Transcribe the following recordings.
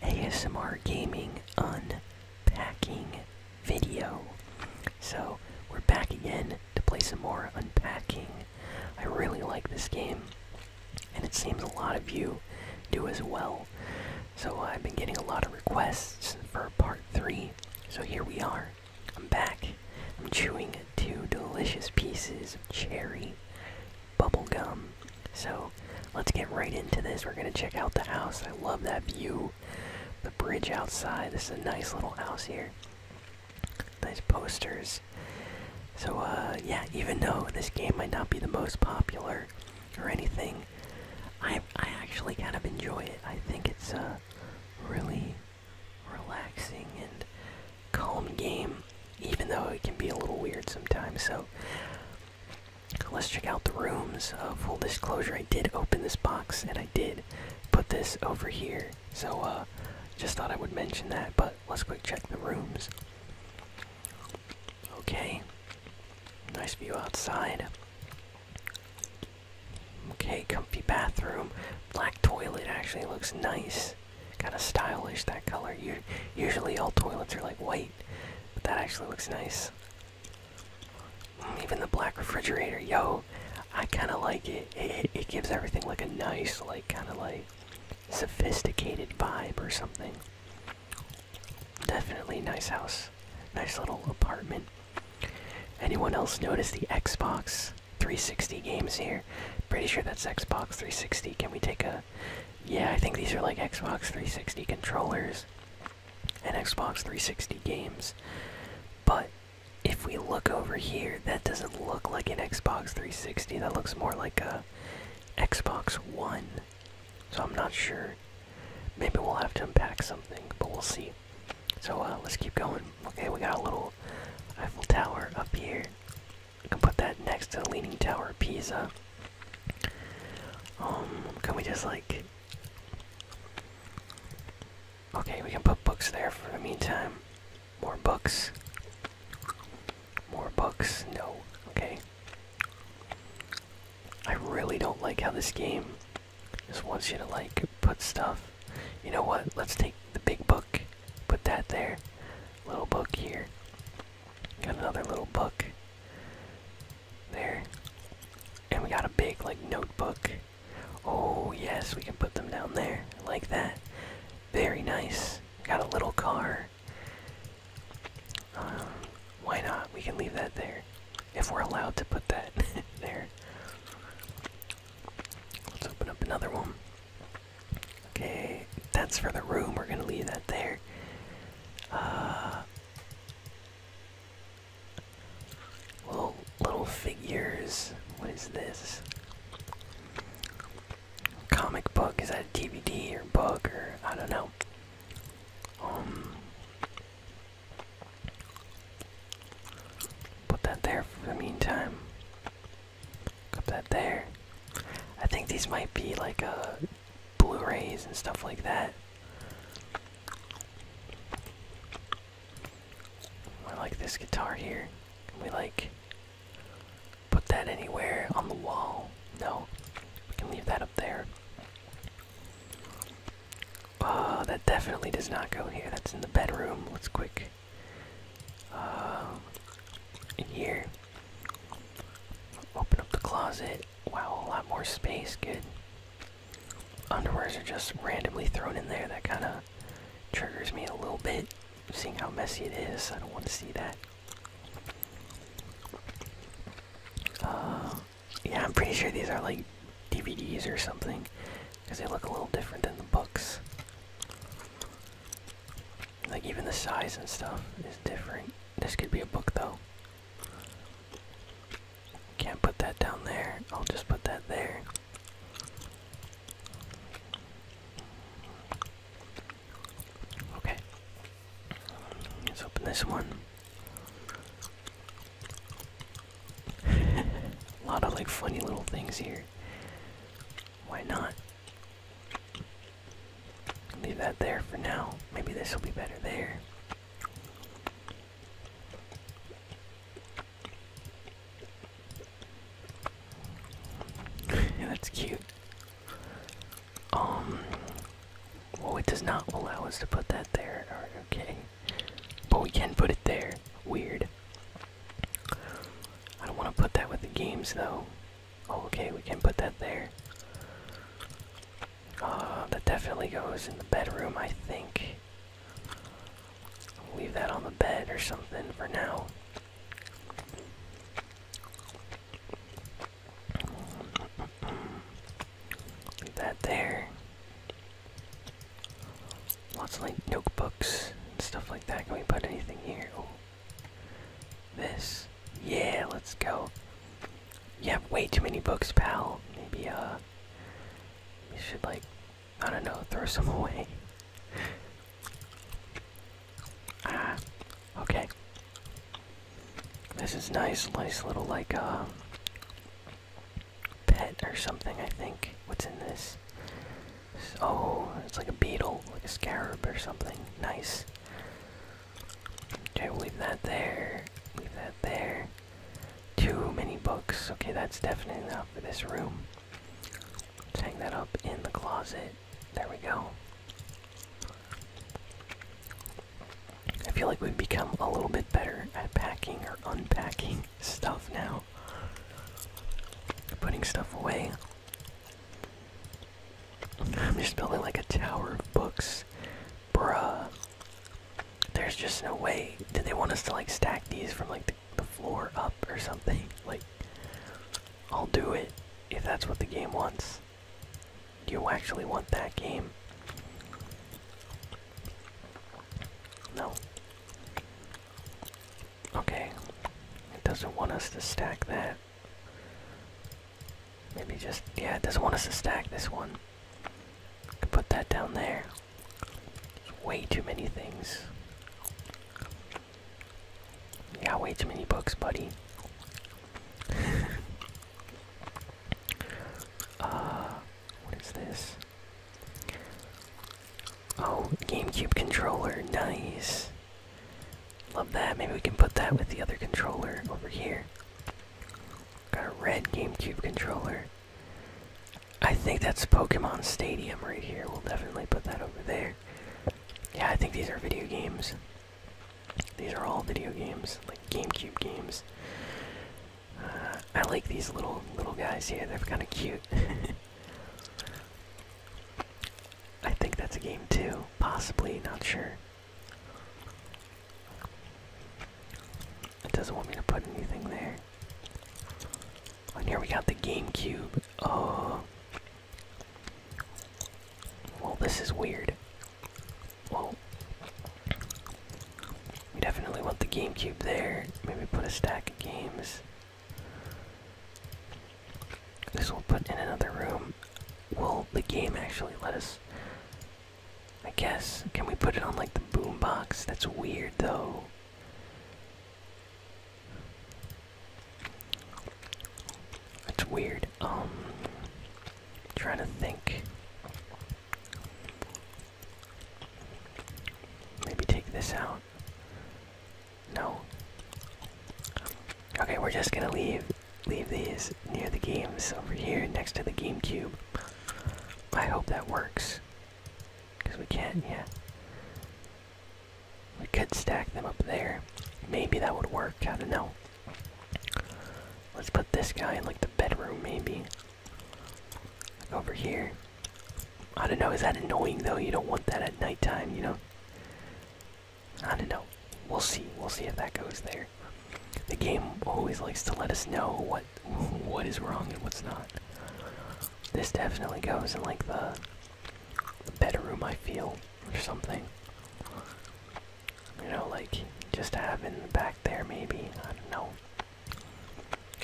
ASMR gaming unpacking video. So we're back again to play some more unpacking. I really like this game, and it seems a lot of you do as well. So I've been getting a lot of requests for part 3. So here we are. I'm back. I'm chewing two delicious pieces of cherry Bubble gum. So let's get right into this. We're going to check out the house. I love that view. The bridge outside. This is a nice little house here. Nice posters. So, uh, yeah, even though this game might not be the most popular or anything, I, I actually kind of enjoy it. I think it's a really relaxing and calm game, even though it can be a little weird sometimes. So, Let's check out the rooms. Uh, full disclosure, I did open this box and I did put this over here. So, uh, just thought I would mention that, but let's quick check the rooms. Okay. Nice view outside. Okay, comfy bathroom. Black toilet actually looks nice. Kind of stylish that color. usually all toilets are like white but that actually looks nice. Mm, even the black refrigerator, yo, I kind of like it. it gives everything like a nice, like kind of like sophisticated vibe or something. Definitely nice house, nice little apartment. Anyone else notice the Xbox 360 games here? Pretty sure that's Xbox 360. Can we take a yeah, I think these are like Xbox 360 controllers and Xbox 360 games. But if we look over here, that doesn't look like an Xbox 360. That looks more like a Xbox One. So I'm not sure. Maybe we'll have to unpack something, but we'll see. So uh, let's keep going. Okay, we got a little Eiffel Tower up here. We can put that next to the Leaning Tower of Pisa. Um, can we just like. Okay, we can put books there for the meantime. More books. More books. No. Okay. I really don't like how this game just wants you to like put stuff. You know what? Let's take the big book, put that there, little book here, Got another little book there. And we got a big like notebook. Oh yes, we can put them down there like that. Very nice. Got a little car. Um, why not? We can leave that there if we're allowed to put that there. Let's open up another one. Okay, that's for the room. We're gonna leave that there. Uh, Little, figures. What is this? Comic book. Is that a DVD or book or I don't know. Um, put that there for the meantime. Put that there. I think these might be like a Blu-rays and stuff like that. I like this guitar here. we like put that anywhere on the wall? No. We can leave that up there. Uh, that definitely does not go here. That's in the bedroom. Let's quick. Uh, in here. Open up the closet. Wow, a lot more space. Good. Underwears are just randomly thrown in there. That kind of triggers me a little bit. Seeing how messy it is, I don't want to see that. Uh, yeah, I'm pretty sure these are like DVDs or something because they look a little different than the books. Like, even the size and stuff is different. This could be a book though. Can't put that down there. I'll just put that there. Okay. Let's open this one. a lot of like funny little things here. Why not? Leave that there for now. Maybe this will be better there. yeah, that's cute. Um. Well, it does not allow us to put that there. Okay. But we can put it there. Weird. I don't want to put that with the games, though. Oh, okay, we can put that there. Uh, that definitely goes in the bedroom, I think. leave that on the bed or something for now. that there. Lots of like notebooks and stuff like that. Can we put anything here? Oh, this. Yeah, let's go. You have way too many books, pal. Maybe, uh. You should, like, I don't know, throw some away. ah, okay. This is nice, nice little, like, uh. Pet or something, I think. What's in this? Oh, it's like a beetle, like a scarab or something. Nice. Okay, we'll leave that there. Leave that there. Too many books. Okay, that's definitely enough for this room. Let's hang that up in the closet. There we go. I feel like we've become a little bit better at packing or unpacking stuff now. Putting stuff away. I'm just building like a tower of books. Bruh. There's just no way. Did they want us to like stack these from like the, the floor up or something? Like, I'll do it if that's what the game wants. Do you actually want that game? No. Okay. It doesn't want us to stack that. Maybe just, yeah, it doesn't want us to stack this one. Could put that down there. There's way too many things. Yeah, way too many books, buddy. uh, what is this? Oh, GameCube controller, nice. Love that. Maybe we can put that with the other controller over here. Got a red GameCube controller. I think that's Pokemon Stadium right here. We'll definitely put that over there. Yeah, I think these are video games. These are all video games, like GameCube games. Uh, I like these little little guys here. They're kind of cute. I think that's a game too, possibly. Not sure. It doesn't want me to put anything there. And here we got the GameCube. Oh. Well, this is weird. Well, we definitely want the GameCube there. Maybe put a stack of games. This will put in another room. Will the game actually let us I guess. Can we put it on like the boombox? That's weird though. That's weird. Um trying to think. Maybe take this out. No. Okay, we're just gonna leave leave these near the games over here next to the GameCube. I hope that works. Because we can't, yeah. We could stack them up there. Maybe that would work, I don't know. Let's put this guy in like the bedroom, maybe. Over here. I don't know, is that annoying though? You don't want that at nighttime, you know? I don't know. We'll see. We'll see if that goes there. The game always likes to let us know what what is wrong and what's not. This definitely goes in like the, the bedroom I feel or something. You know, like just having back there maybe. I don't know.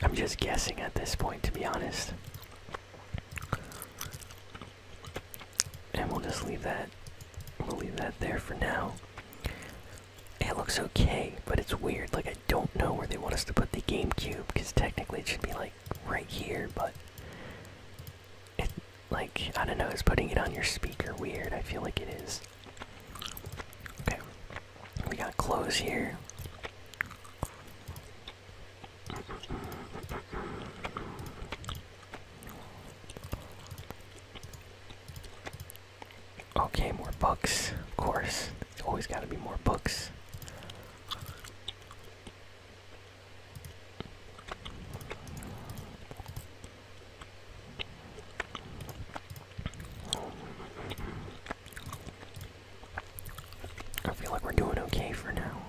I'm just guessing at this point to be honest. And we'll just leave that we'll leave that there for now. It looks okay, but it's weird. Like, I don't know where they want us to put the GameCube, because technically it should be, like, right here, but. It, like, I don't know, is putting it on your speaker weird? I feel like it is. Okay. We got clothes here. Okay, more books. Of course. always gotta be more books. I feel like we're doing okay for now.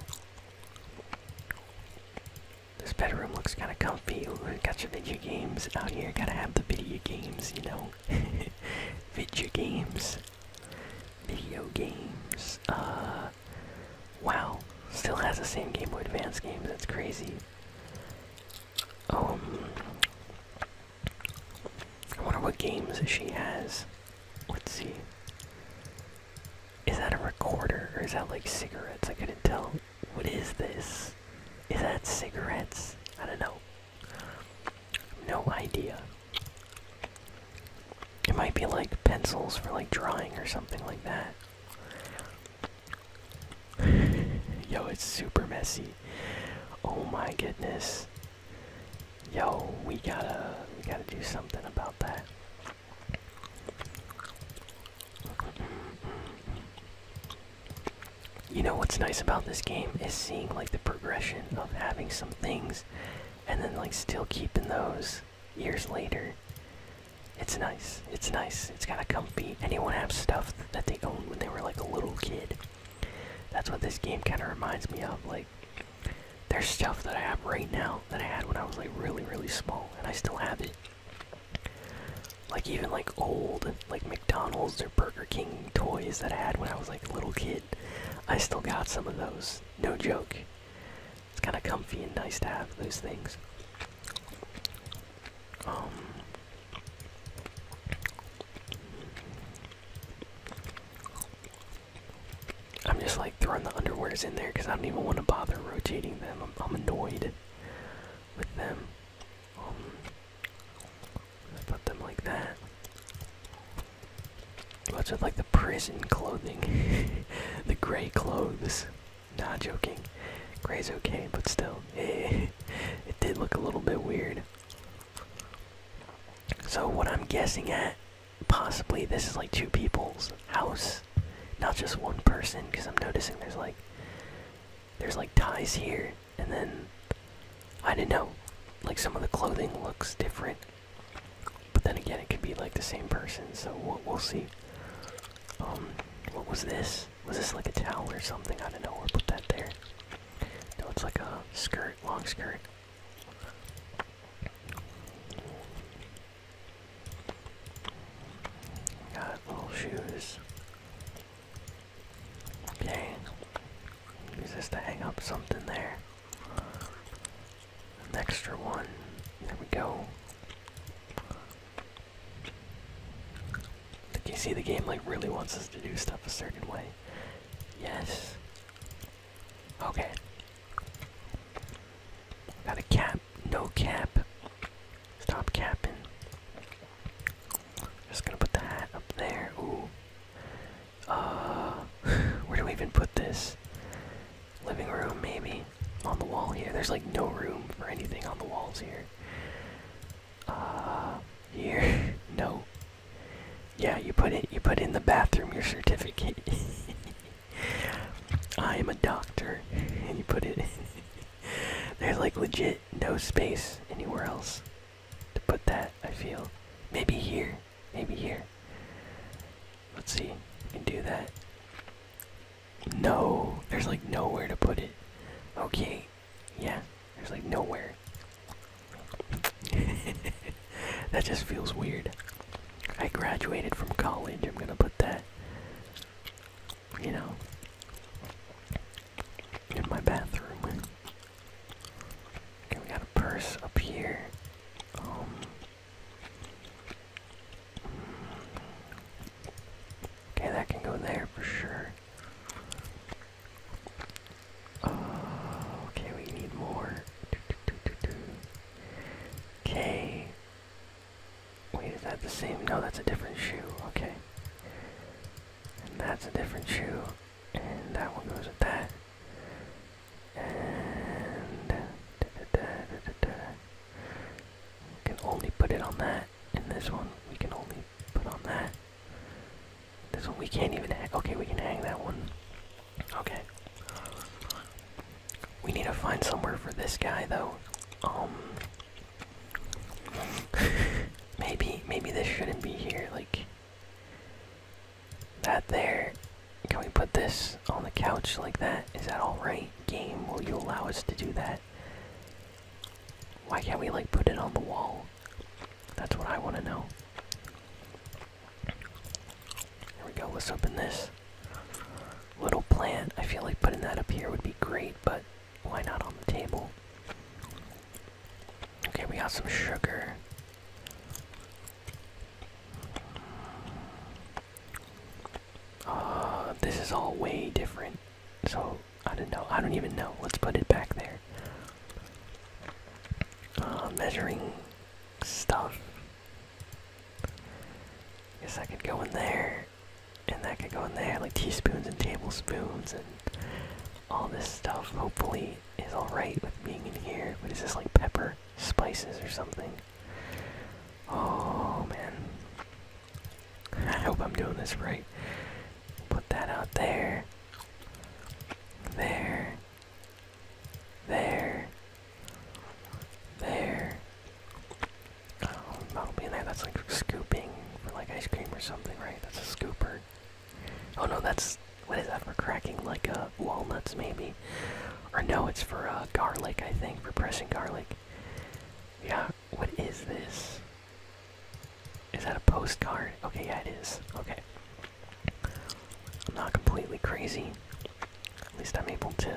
This bedroom looks kind of comfy. Video, people who got video games out here. Gotta have the video games, you know. video games. Video games. Uh, wow. Still has the same Game Boy Advance games. That's crazy. Um, I wonder what games she has. Let's see. Is that a recorder or is that like cigarettes? I couldn't tell. What is this? Is that cigarettes? I don't know. No idea. It might be like pencils for like drawing or something like that. Yo, it's super messy. Oh my goodness. Yo, we gotta we gotta do something about that. You know what's nice about this game is seeing like the progression of having some things and then like still keeping those years later. It's nice. It's nice. It's kind of comfy. Anyone have stuff that they owned when they were like a little kid? That's what this game kind of reminds me of. Like, there's stuff that I have right now that I had when I was like really, really small, and I still have it. Like even like old like McDonald's or Burger King toys that I had when I was like a little kid. I still got some of those. No joke. It's kind of comfy and nice to have those things. Um I'm just like throwing the underwears in there because I don't even want to bother rotating them. I'm, I'm annoyed with them let put them like that. What's it like the prison clothing? the gray clothes. Nah, joking. Gray's okay, but still, it did look a little bit weird. So what I'm guessing at, possibly this is like two people's house, not just one person, because I'm noticing there's like there's like ties here, and then I do not know. Like some of the clothing looks different, but then again, it could be like the same person. So we'll, see. Um, what was this? Was this like a towel or something? I don't know. We'll put that there. No, it's like a skirt, long skirt. Got little shoes. Okay. Use this to hang up something there. An extra one. There we go. Like you see the game like really wants us to do stuff a certain way. Yes. Okay. Got a cap. No cap. Stop capping. Just gonna put the hat up there. Ooh. Uh, where do we even put this? Living room, maybe. On the wall here. There's like no room for anything on the walls here. Uh, here. no. Yeah, you put it. You put in the bathroom your certificate. I am a doctor, and you put it. They're like legit no space anywhere else to put that, I feel. Maybe here. Maybe here. Let's see. We can do that. No. There's like nowhere to put it. Okay. Yeah. There's like nowhere. that just feels weird. I graduated from college. I'm gonna put that you know, in my bathroom. Okay, we got a purse up here. Um, okay, that can go there for sure. Uh, okay, we need more. Okay. Wait, is that the same? No, that's a different shoe. Okay. And that's a different shoe. And that one goes with that. And we can only put it on that. And this one we can only put on that. This one we can't even hang. Okay, we can hang that one. Okay. We need to find somewhere for this guy though. Um, maybe, maybe this shouldn't be here. Like that there. Can we put this on the couch like that? Is that all right? Game, will you allow us to do that? Why can't we like put it on the wall? That's what I want to know. Here we go. Let's open this little plant. I feel like putting that up here would be great, but why not on the table? Okay, we got some sugar. Uh, this is all way different. So, I don't know. I don't even know. Let's put it back there. Uh, measuring stuff. Guess I could go in there. And that could go in there, like teaspoons and tablespoons and all this stuff hopefully is alright with being in here. What is this like pepper? Spices or something? Oh man. I hope I'm doing this right. Put that out there. There. There. There. Oh, that'll be in there. That's like scooping for like ice cream or something, right? That's a scooper. Oh no, that's what is that for cracking like uh, walnuts maybe? Or no, it's for uh, garlic I think for pressing garlic. Yeah, what is this? Is that a postcard? Okay, yeah, it is. Okay, I'm not completely crazy. At least I'm able to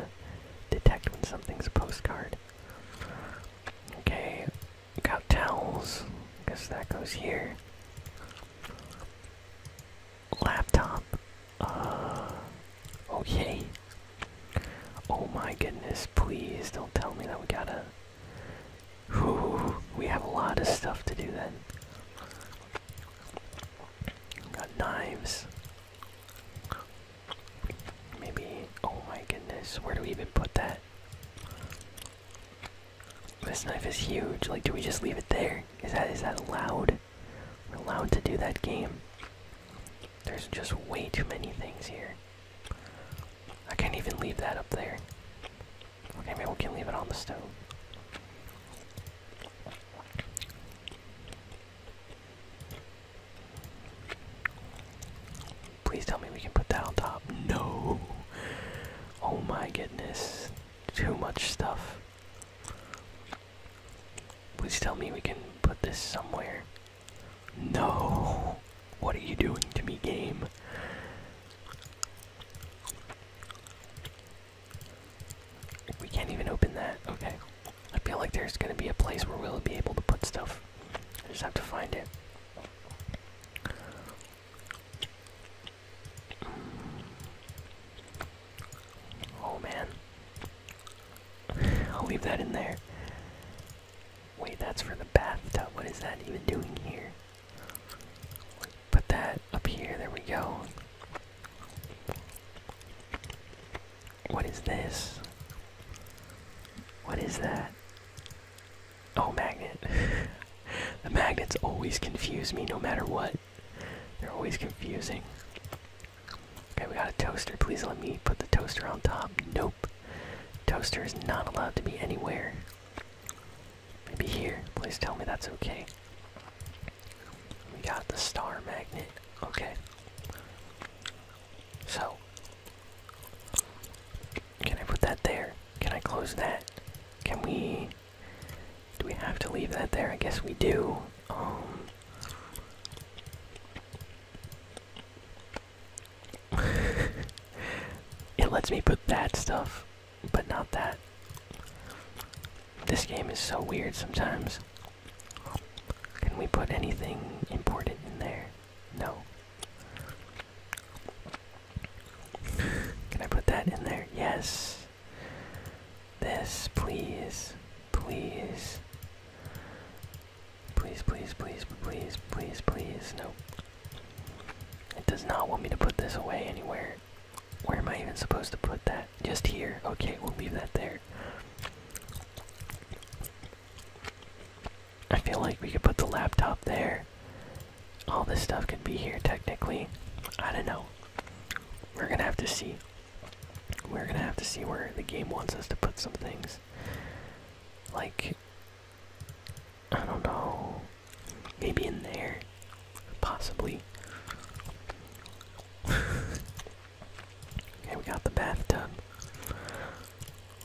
detect when something's a postcard. Okay, we got towels. Guess that goes here. Laptop. Uh. Okay. Oh, oh my goodness! Please don't tell me that we gotta. we have a lot of stuff to do then. got knives. Maybe. Oh my goodness! Where do we even put that? This knife is huge. Like, do we just leave it there? Is that is that allowed? We're allowed to do that game. There's just way too many things here. I can't even leave that up there. Okay, maybe we can leave it on the stove. Please tell me we can put that on top. No! Oh my goodness. Too much stuff. Please tell me we can put this somewhere. No! What are you doing to me, game? We can't even open that. Okay. I feel like there's gonna be a place where we'll be able to put stuff. I just have to find it. Oh man. I'll leave that in there. Wait, that's for the bathtub. What is that even doing here? Put that up here. There we go. What is this? What is that? Oh, magnet. the magnets always confuse me no matter what. They're always confusing. Okay, we got a toaster. Please let me put the toaster on top. Nope. Toaster is not allowed to be anywhere. Maybe here. Please tell me that's okay. We got the star magnet. Okay. So, can I put that there? Can I close that? Can we. Do we have to leave that there? I guess we do. Um, it lets me put that stuff, but not that. This game is so weird sometimes. Can we put anything important in there? No. Can I put that in there? Yes. This, please. Please. Please, please, please, please, please, please. It does not want me to put this away anywhere. Where am I even supposed to put that? Just here. Okay, we'll leave that there. I feel like we could put the laptop there. All this stuff could be here technically. I don't know. We're gonna have to see. We're gonna have to see where the game wants us to put some things. Like, I don't know. Maybe in there. Possibly. okay, we got the bathtub.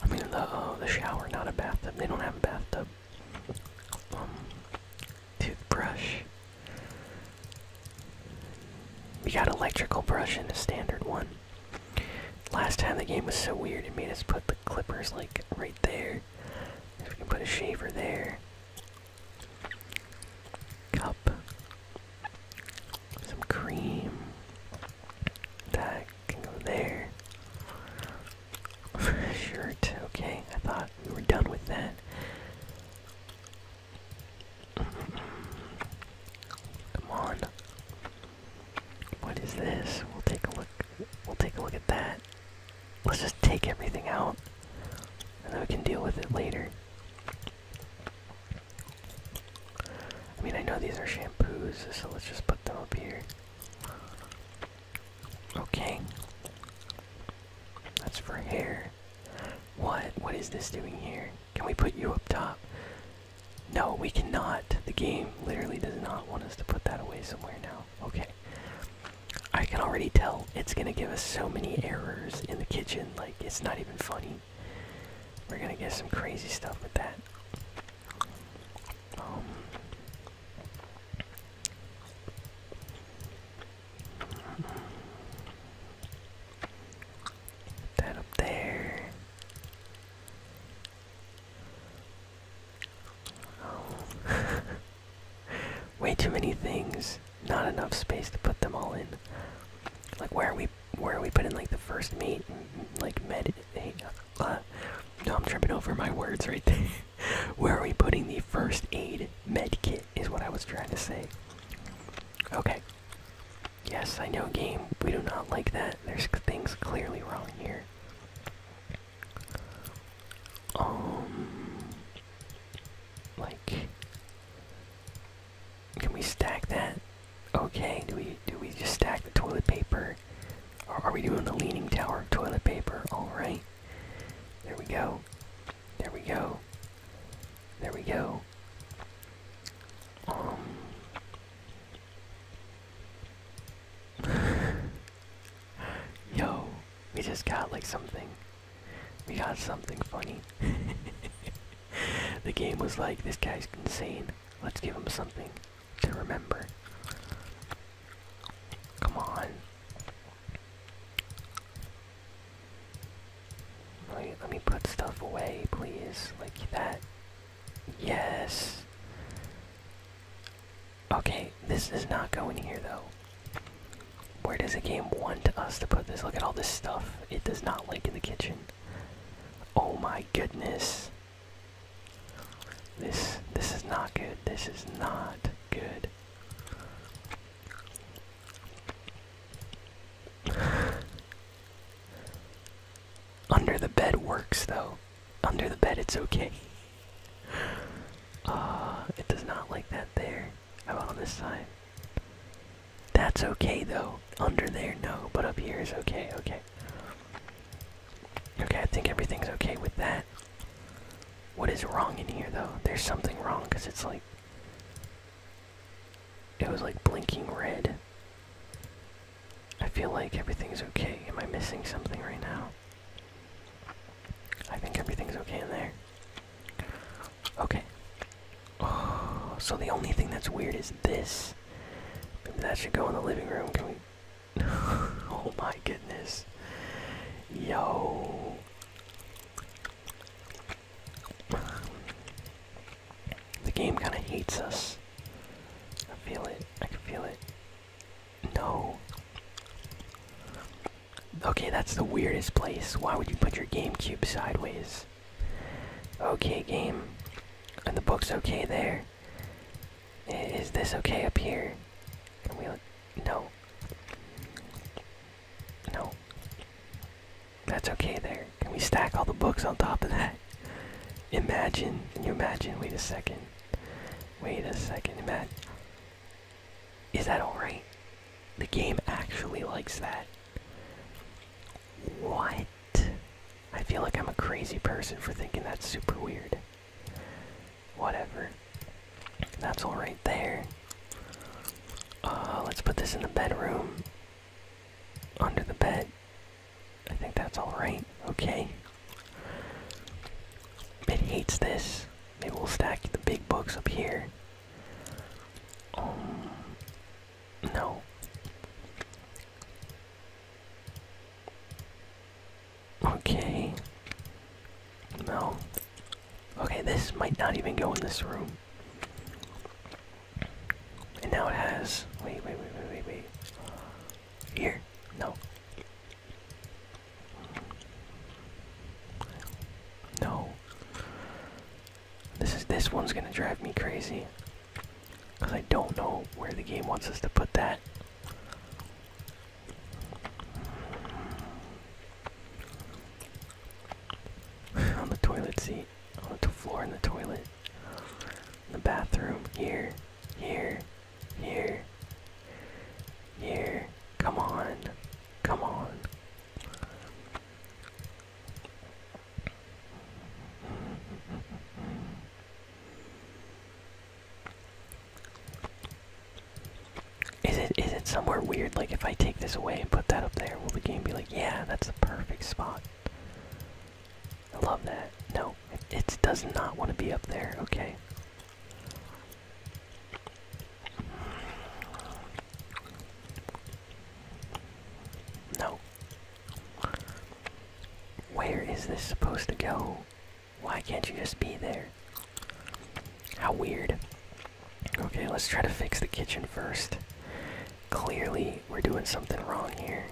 I mean, the, uh, the shower, not a bathtub. They don't have a bathtub toothbrush. We got electrical brush and the standard one. Last time the game was so weird it made us put the clippers like right there. If we can put a shaver there. Cup. Some cream. That can go there shirt. Okay, I thought we were done with that. Come on. What is this? We'll take a look. We'll take a look at that. Let's just take everything out, and then we can deal with it later. I mean, I know these are shampoos, so let's just put them up here. Okay. That's for hair. What? What is this doing here? Can we put you up top? No, we cannot. The game literally does not want us to put that away somewhere now. Okay. I can already tell it's gonna give us so many errors in the kitchen, like, it's not even funny. We're gonna get some crazy stuff with that. Um, Put that up there. Way too many things. Not enough space to put them all in. Like where are we where are we putting like the first meat and like med uh, no I'm tripping over my words right there. Where are we putting the first aid med kit? Is what I was trying to say. Okay. Yes, I know, game. We do not like that. There's things clearly wrong here. Um. Like. Can we stack that? Okay. Do we do we just stack the toilet paper are we doing the leaning tower of toilet paper? Alright. There we go. There we go. There we go. Um. Yo, we just got like something. We got something funny. the game was like, this guy's insane. Let's give him something to remember. Come on. Wait, let me put stuff away, please. Like that. Yes. Okay, this does not go in here though. Where does the game want us to put this? Look at all this stuff. It does not like in the kitchen. Oh my goodness. This this is not good. This is not good. Under the bed works though. Under the bed it's okay. Uh it does not like that there. How about on this side? That's okay though. Under there no, but up here is okay, okay. Okay, I think everything's okay with that. What is wrong in here though? There's something wrong because it's like. It was like blinking red. I feel like everything's okay. Am I missing something right now? I think everything's okay in there. Okay. Oh, so the only thing that's weird is this. Maybe that should go in the living room. Can we oh my goodness. Yo. The game kind of hates us. I feel it. I can feel it. No. Okay, that's the weirdest place. Why would you put your GameCube sideways? Okay, game. And the book's okay there. Is this okay up here? Can we No. No. That's okay there. Can we stack all the books on top of that? Imagine. Can you imagine? Wait a second. Wait a second. Imagine. Is that alright? The game actually likes that. What? I feel like I'm a crazy person for thinking that's super weird. Whatever. That's all right there. Uh, let's put this in the bedroom. Under the bed. I think that's alright. Okay. Bit hates this. It will stack the big books up here. Um, no. Okay. No. Okay, this might not even go in this room. And now it has. Wait, wait, wait, wait, wait, wait. Here? No. No. This is this one's gonna drive me crazy. Cause I don't know where the game wants us to put that. on the toilet seat, on the floor in the toilet, the bathroom, here, here, here, here. Come on, come on. Is it is it somewhere weird? Like if I take this away and put that up there, will the game be like, yeah, that's the perfect spot? I love that. No, it, does not want to be up there. Okay. No. Where is this supposed to go? Why can't you just be there? How weird. Okay, let's try to fix the kitchen first. Clearly, we're doing something wrong here.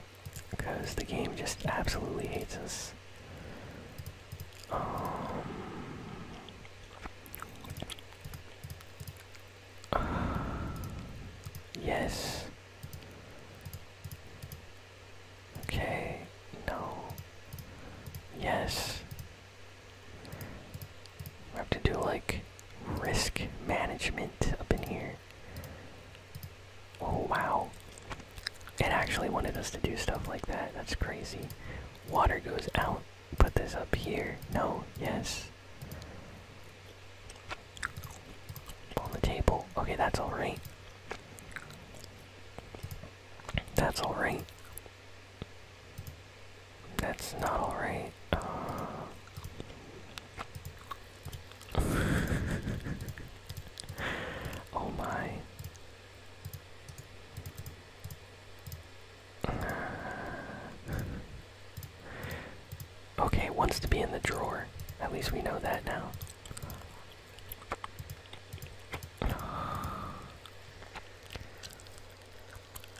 Because the game just absolutely hates us. Um, yes. Okay, no. Yes. We have to do like risk management up in here. Oh wow. It actually wanted us to do stuff like that. That's crazy. Water goes out. Put this up here. No, yes. On the table. Okay, that's alright. That's alright. That's not alright. Uh, oh my. okay, wants to be in the drawer. At least we know that now.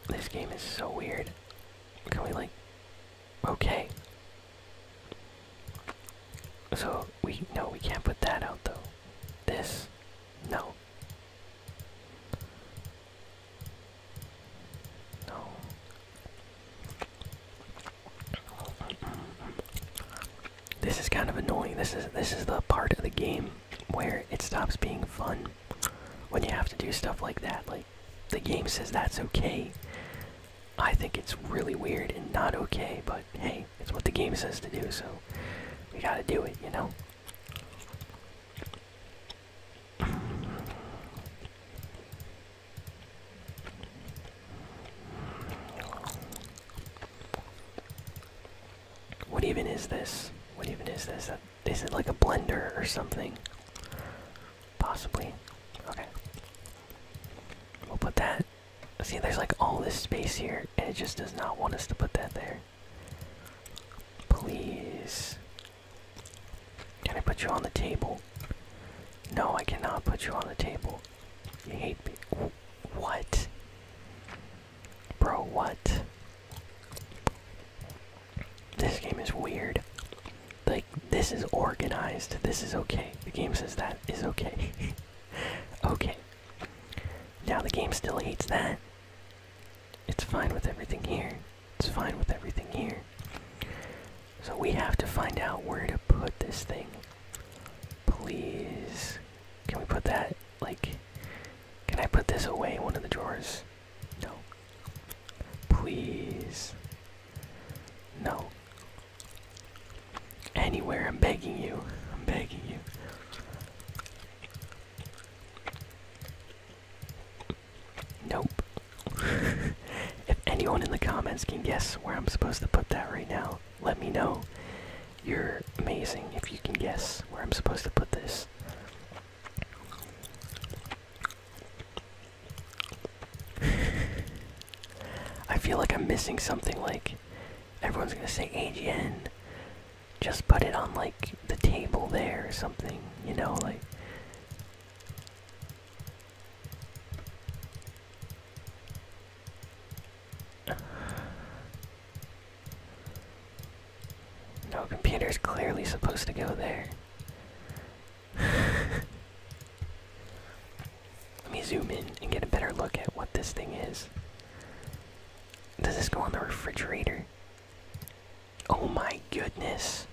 This game is so weird. Can we like okay. So we no we can't put that out though. This no. No. This is kind of annoying. This is this is the part of the game where it stops being fun when you have to do stuff like that. Like the game says that's okay. I think it's really weird and not okay, but hey, it's what the game says to do, so we gotta do it, you know? What even is this? What even is this? Uh, is it like a blender or something? Possibly. Okay. We'll put that. See, there's like all this space here, and it just does not want us to put that there. Please. Can I put you on the table? No, I cannot put you on the table. You hate me. What? Bro, what? This game is weird. Like, this is organized. This is okay. The game says that is okay. okay. Now the game still hates that. It's fine with everything here. It's fine with everything here. So we have to find out where to put this thing. Please. Can we put that like, can I put this away in one of the drawers? No. Please. No. Anywhere, I'm begging you. I'm begging you. Nope. if anyone in the comments can guess where I'm supposed to put that right now, let me know. You're amazing if you can guess where I'm supposed to put this. I feel like I'm missing something like everyone's gonna say AGN. Just put it on like the table there or something, you know, like no computer is clearly supposed to go there. Let me zoom in and get a better look at what this thing is. Does this go on the refrigerator? Oh my goodness!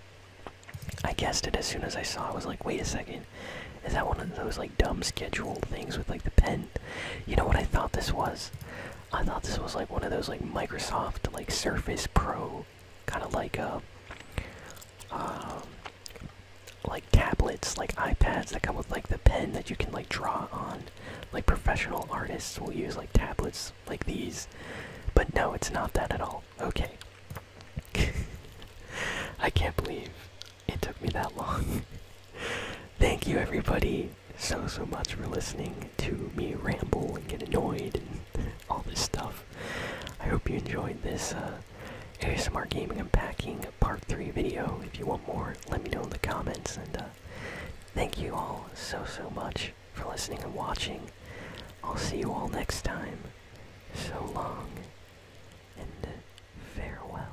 I guessed it as soon as I saw it. I was like, wait a second. Is that one of those like dumb scheduled things with like the pen? You know what I thought this was? I thought this was like one of those like Microsoft like Surface Pro kind of like uh, uh, like tablets, like iPads that come with like the pen that you can like draw on. Like professional artists will use like tablets like these, but no, it's not that at all. Okay. I can't believe it took me that long. Thank you everybody so, so much for listening to me ramble and get annoyed and all this stuff. I hope you enjoyed this uh, ASMR Gaming Unpacking Part 3 video. If you want more, let me know in the comments. And uh, thank you all so, so much for listening and watching. I'll see you all next time. So long and farewell.